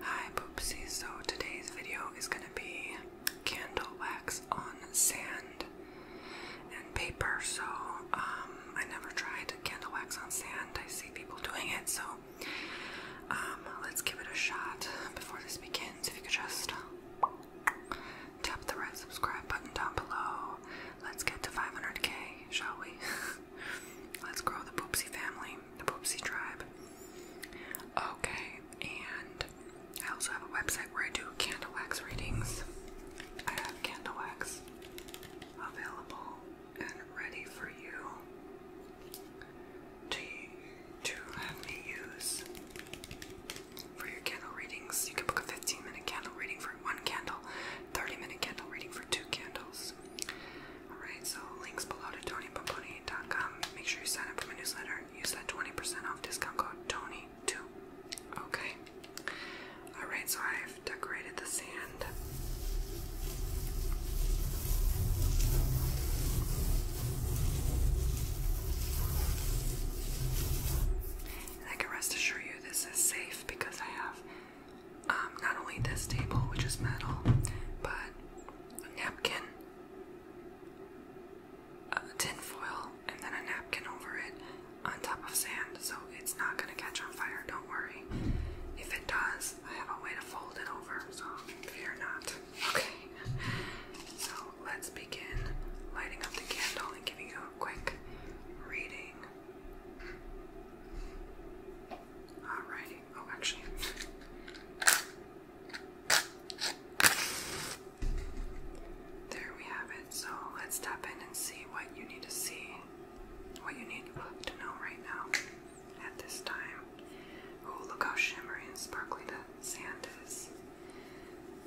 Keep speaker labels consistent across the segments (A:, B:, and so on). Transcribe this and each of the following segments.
A: Hi Poopsie, so today's video is going to be candle wax on sand and paper. So um, I never tried candle wax on sand. I see people doing it, so um, let's give it a shot before this begins. If you could just tap the red subscribe button down below. Let's get to 500k, shall we? Let's grow the Poopsie family, the Poopsie tribe. Okay, and I also have a website where I do candle wax readings. I have candle wax available and ready for you to, to have me use for your candle readings. You can book a 15 minute candle reading for one candle, 30 minute candle reading for two candles. Alright, so links below to TonyPoponi.com. Make sure you sign up for my newsletter. Use that 20% off discount code TONY2. Okay. Alright, so I've decorated the sand. I can rest assure you this is safe because I have um, not only this table, which is metal, but a napkin, a tin foil, and then a napkin over it on top of sand, so it's not going to catch on fire, don't worry. If it does, I have a way to fold it over, so fear not. Okay, so let's begin lighting up the candle and giving you a quick reading. Alrighty. Oh, actually. There we have it. So let's tap in and see what you need to see, what you need to know right now at this time. Oh, look how shimmery and sparkly the sand is.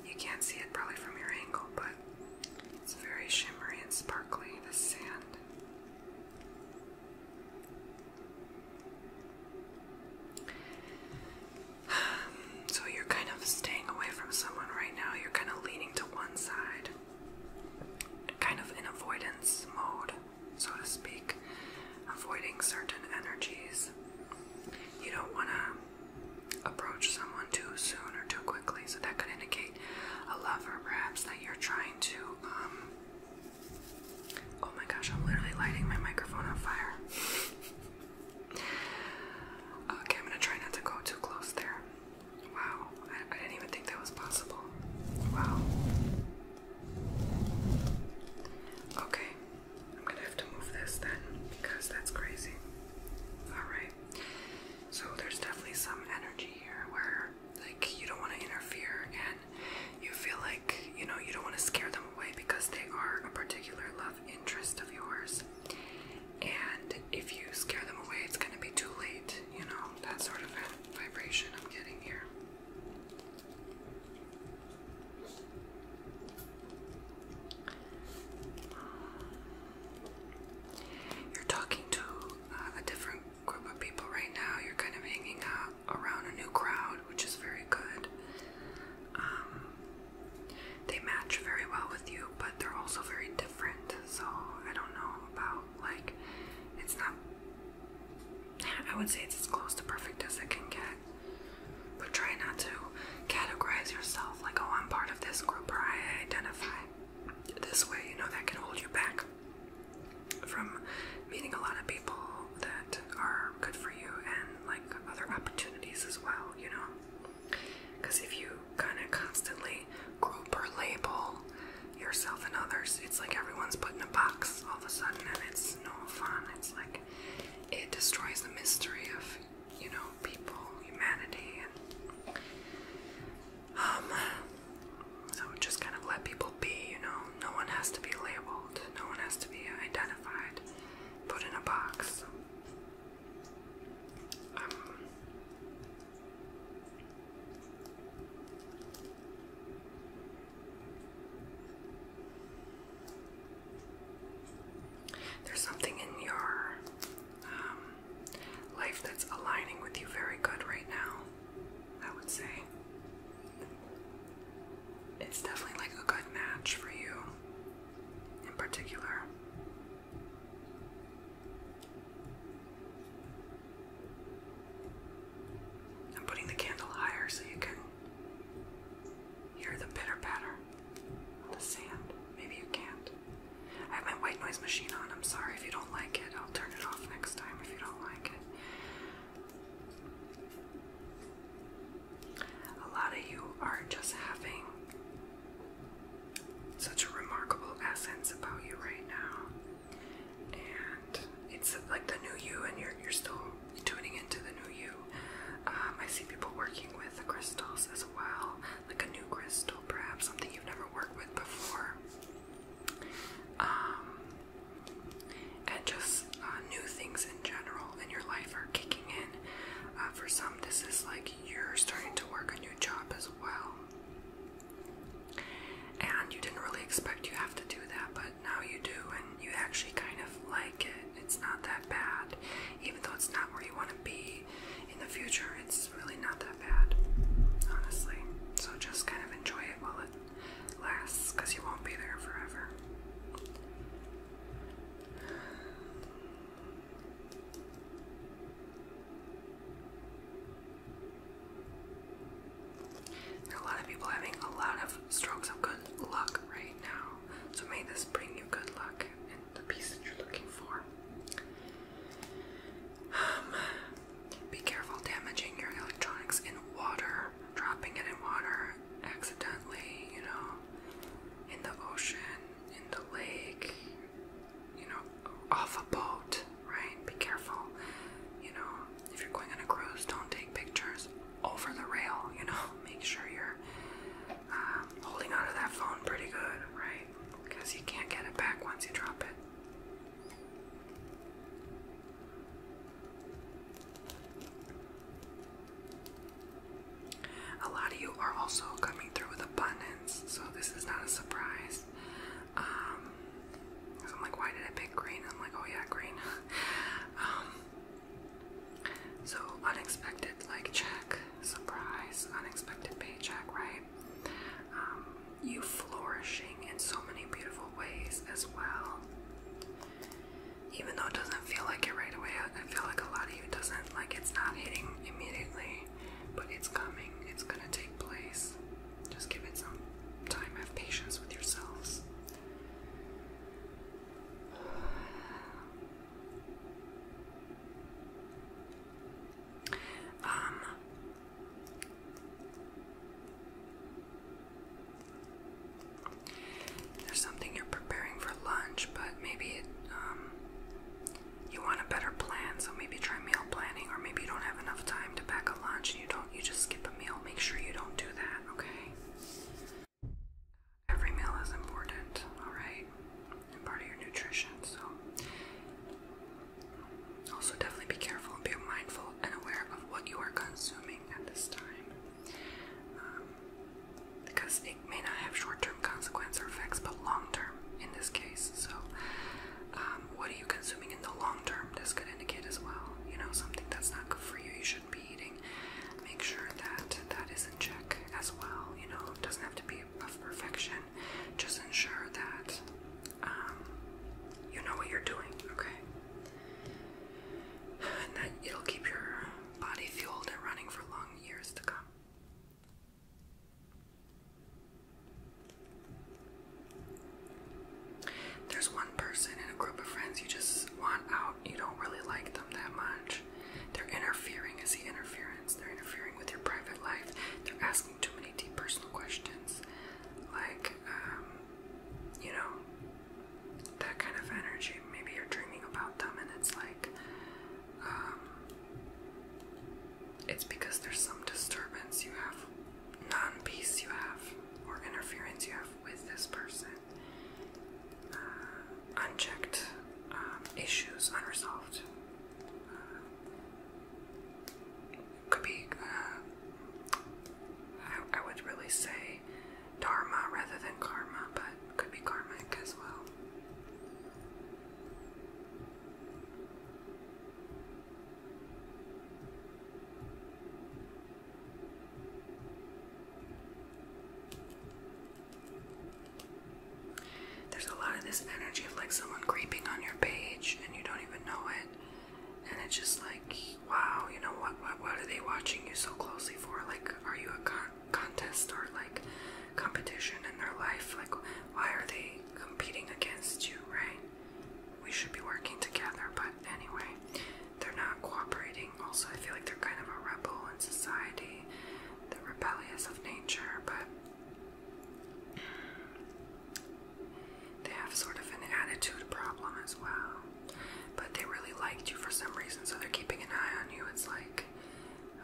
A: You can't see it probably from your angle, but it's very shimmery and sparkly, the sand. So you're kind of staying away from someone right now. You're kind of leaning to one side, kind of in avoidance mode, so to speak, avoiding certain energies. You don't want to approach someone too soon or too quickly, so that could indicate a lover perhaps that you're trying to um, Oh my gosh, I'm literally lighting my microphone on fire. okay, I'm gonna try not to go too close there. Wow, I, didn't even think that was possible. Wow. Okay, I'm gonna have to move this then because that's crazy. Alright, so there's definitely some energy here where like you don't want to interfere and you feel like you know you don't want to scare them away because they are a particular love interest of yours and if you scare them away it's going to be too late you know that sort of vibration i'm getting here you're talking to uh, a different group of people right now. You're kind of hanging out around a new crowd, which is very good. Um, they match very well with you, but they're also very different. So I don't know about like it's not. I would say it's as close to perfect as it can get. But try not to categorize yourself like, oh, I'm part of this group or I identify this way, you know, that can hold you back from meeting a lot of people that are good for you and like other opportunities as well, you know? Because if you kind of constantly group or label yourself and others, it's like everyone's put in a box all of a sudden and it's no fun. It's like it destroys the mystery of, you know, people, humanity, and um, so just kind of let people be, you know. No one has to be labeled, no one has to be identified, put in a box. Um, there's something in your um, life that's aligning with you very good right now. I would say. It's definitely like a good match for you in particular. I'm putting the candle higher so you can hear the pitter patter on the sand. Maybe you can't. I have my white noise machine on. I'm sorry if you don't like it. I'll turn it off next time if you don't like it. A lot of you are just having such a remarkable essence about you right now. And it's like the new you, and you're, you're still tuning into the new you. Um, I see people working with crystals as well, like a new crystal, perhaps something you've never worked with before. Um, and just uh, new things in general in your life are kicking in. Uh, for some, this is like you're starting to work a new job as well. And you didn't really expect you have to do that, but now you do, and you actually kind of like it. It's not that bad, even though it's not where you want to be in the future. It's really not that bad, honestly. So just kind of enjoy it while it lasts because you won't be there forever. a lot of people having a lot of strokes of good luck right now, so may this bring you good luck and the peace you're looking for. Um, be careful damaging your electronics in water, dropping it in water accidentally, you know, in the ocean, in the lake, you know, off a boat, right? Be careful. You know, if you're going on a cruise, don't take pictures over the rail, you know, make sure you're uh, holding onto that phone pretty good, right? Because you can't get it back once you drop it. A lot of you are also coming through with abundance, so this is not a surprise. i um, I'm like, why did I pick green? I'm like, oh yeah, green. Um, so unexpected, like check, surprise, unexpected paycheck, right? Um, you flourishing in so many beautiful ways as well. Even though it doesn't feel like it right away, I feel like a lot of you doesn't like it's not hitting immediately, but it's coming. It's gonna take place. Just give it some time. Have patience with yourselves. Um, there's something you're preparing for lunch, but maybe it, um, you want a better plan, so maybe try meal planning, or maybe you don't have enough time to pack a lunch and you don't, you just skip a meal. Make sure you don't do that, okay? Every meal is important, alright? And part of your nutrition, so also, definitely be careful and be mindful and aware of what you are consuming at this time. Um, because it may not have short term consequences or effects, but long term in this case. So, um, what are you consuming in the long term? This could indicate as well. You know, something that's not good for you, you shouldn't be eating. Make sure that that is in check as well. You know, doesn't have to be of perfection. Just ensure that um, you know what you're doing, okay? And that it'll keep your body fueled and running for long years to come. There's one person in a group of friends you just want out, you don't really like them that much. They're interfering, is the interference. They're interfering with your private life. They're asking too many deep personal questions, like, um, you know, that kind of energy. Maybe you're dreaming about them, and it's like, um, it's because there's some disturbance you have, non peace you have, or interference you have with this person. Uh, unchecked um, issues, unresolved. Uh, could be, uh, I, I would really say dharma rather than karma, but could be karmic as well. There's a lot of this energy of like someone creeping on your page and you don't even know it and it's just like, wow, you know what? What, what are they watching you so closely for? Like, are you a contest or like competition in their life? Like, why are they competing against you? Right? We should be working together, but anyway, they're not cooperating. Also, I feel like they're kind of a rebel in society, They're rebellious of nature, but. They have sort of an attitude problem as well. But they really liked you for some reason, so they're keeping an eye on you. It's like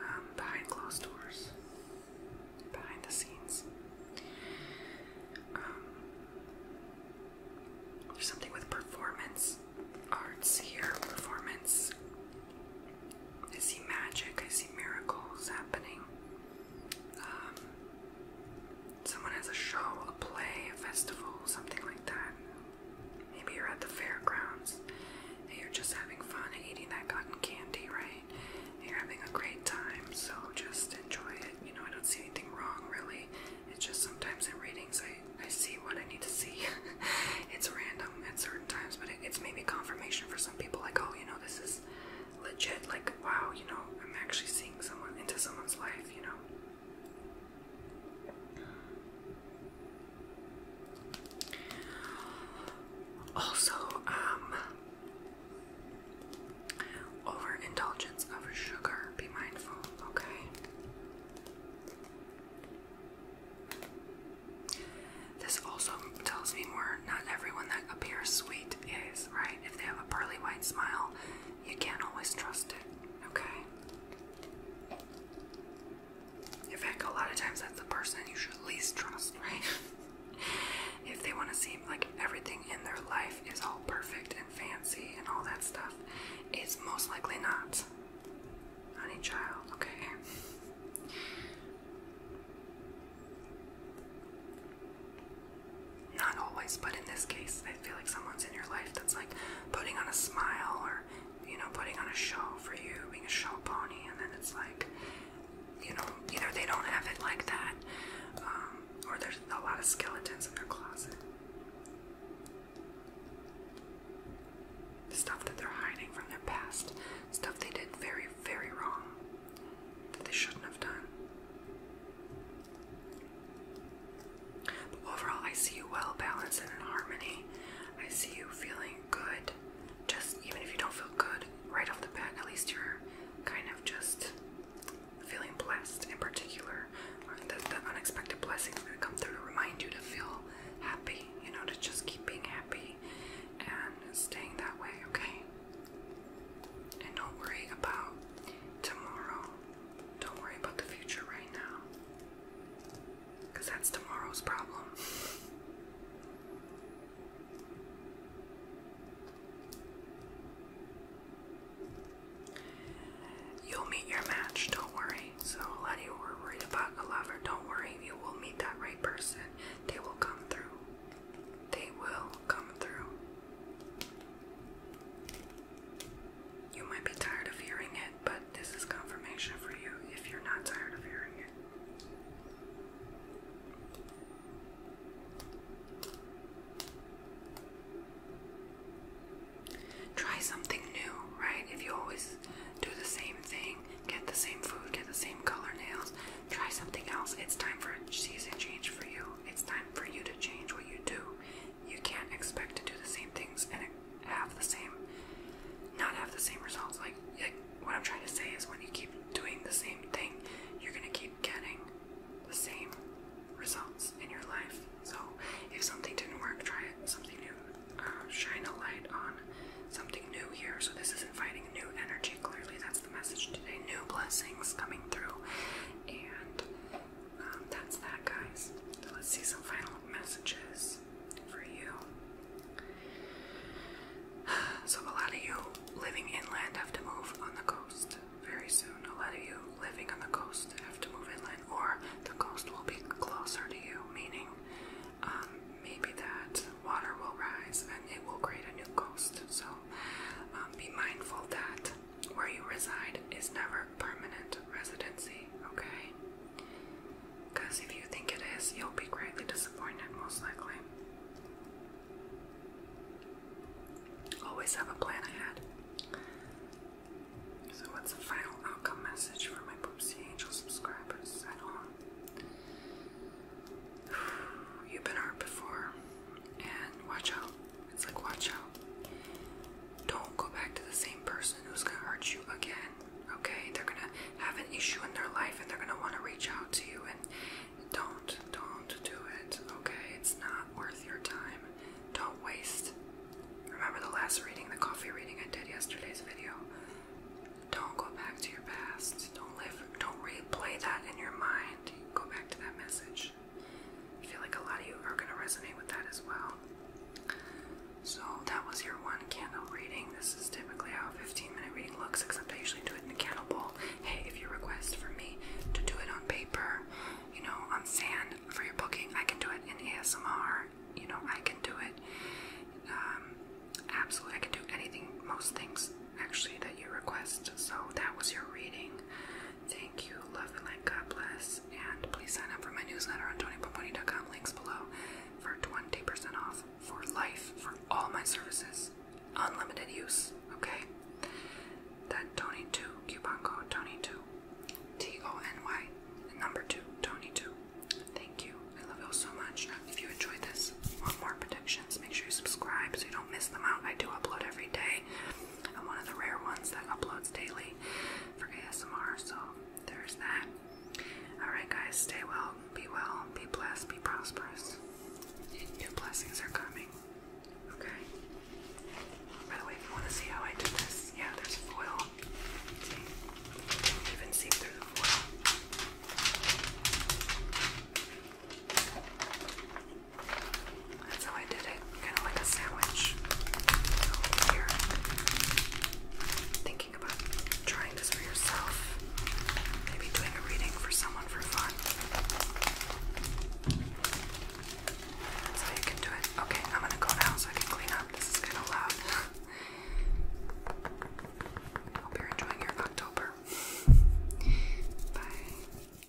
A: um, behind closed doors, behind the scenes. Um, there's something with performance arts here. Performance. I see magic, I see miracles happening. Um, Someone has a show, a play, a festival, something like that. Maybe you're at the fairgrounds and you're just having fun and eating that cotton candy, right? you're having a great time, so just enjoy it. You know, I don't see anything wrong really. It's just sometimes in readings I, I see what I need to see. it's random at certain times, but it's maybe confirmation for some people, like, oh, you know, this is legit like wow, you know, I'm actually seeing someone into someone's life, you know. Also, um overindulgence of sugar, be mindful, okay? This also tells me more. Not everyone that appears sweet is, right? If they have a pearly white smile, you can't always trust it, okay? In fact, a lot of times that's the person you should least trust, right? if they want to seem like everything in their life is all perfect and fancy and all that stuff, it's most likely not. Honey child, okay? Not always, but in this case, I feel like someone's in your life that's like putting on a smile or, you know, putting on a show for you, being a show pony, and then it's like, you know, either they don't have it like that, um, or there's a lot of skeletons in their closet. Stuff that they're hiding from their past, stuff they did very, very wrong that they shouldn't have done. But overall, I see you well balanced and in harmony. I see you feeling good. Just even if you don't feel good right off the bat, at least you're kind of just feeling blessed in particular. Uh, the, the unexpected blessings that come through to remind you to feel happy, you know, to just keep being happy and staying that way, okay? And don't worry about tomorrow. Don't worry about the future right now. Because that's tomorrow's problem. You'll meet your match, don't worry. So, a you were about a lover. Don't worry, you will meet that right person. They will come through. They will come through. You might be tired of hearing it, but this is confirmation for you if you're not tired of hearing it. Try something new, right? If you always do the same thing, get the same food, get the same color nails, try something else. It's time for a season change for you. It's time for you to change what you do. You can't expect to do the same things and have the same, not have the same results. Like, what I'm trying to say is when you keep doing the same thing, you're going to keep getting the same results in your life. So if something didn't work, try it. Something new. Uh, shine a light on something new here. So this is inviting new energy. Clearly, that's the message today. New blessings coming through. And um, that's that, guys. So let's see some final messages for you. So, a lot of you living inland have to move on the coast very soon. A lot of you living on the coast have to move inland, or the coast will be closer to you, meaning um, maybe that water will rise and it will create a new coast. So, um, be mindful that where you reside is never permanent residency, okay? Because if you think it is, you'll be greatly disappointed, most likely. Always have a plan ahead. So, what's the final outcome message for my Poopsie Angel subscribers at home? You've been hurt before, and watch out. It's like, watch out. Don't go back to the same person who's gonna hurt you again. Okay? They're gonna have an issue in their life and they're gonna wanna reach out to you and don't, don't do it. Okay? It's not worth your time. Don't waste. Remember the last reading, the coffee reading I did yesterday's video? Don't go back to your past. Don't live, don't replay that in your mind. Go back to that message. I feel like a lot of you are going to resonate with that as well. So, that was your one candle reading. This is typically how a 15 minute reading looks, except I usually do it in a candle bowl. Hey, if you request for me to do it on paper, you know, on sand for your booking, I can do it in ASMR. You know, I can do it. Um, absolutely, I can do anything, most things actually that you request. So, that was your reading. Thank you, love and light, God bless. And please sign up for my newsletter on TonyPoponi.com, links below, for 20% off for life for all my services. Unlimited use, okay? That Tony2 coupon code Tony2. T O N Y, number 2, Tony2. Thank you. I love you so much. If you enjoyed this, want more predictions, make sure you subscribe so you don't miss them out. I do upload every day. And one of the rare ones that uploads daily for ASMR, so there's that. Alright, guys, stay well, be well, be blessed, be prosperous. New blessings are coming. Okay? By the way, if you want to see how I did this, yeah, there's foil. You can see through the foil. That's how I did it, kind of like a sandwich. here, thinking about trying this for yourself, maybe doing a reading for someone for fun. That's how you can do it. Okay, I'm gonna go now so I can clean up. This is kind of loud. Hope you're enjoying your October. Bye.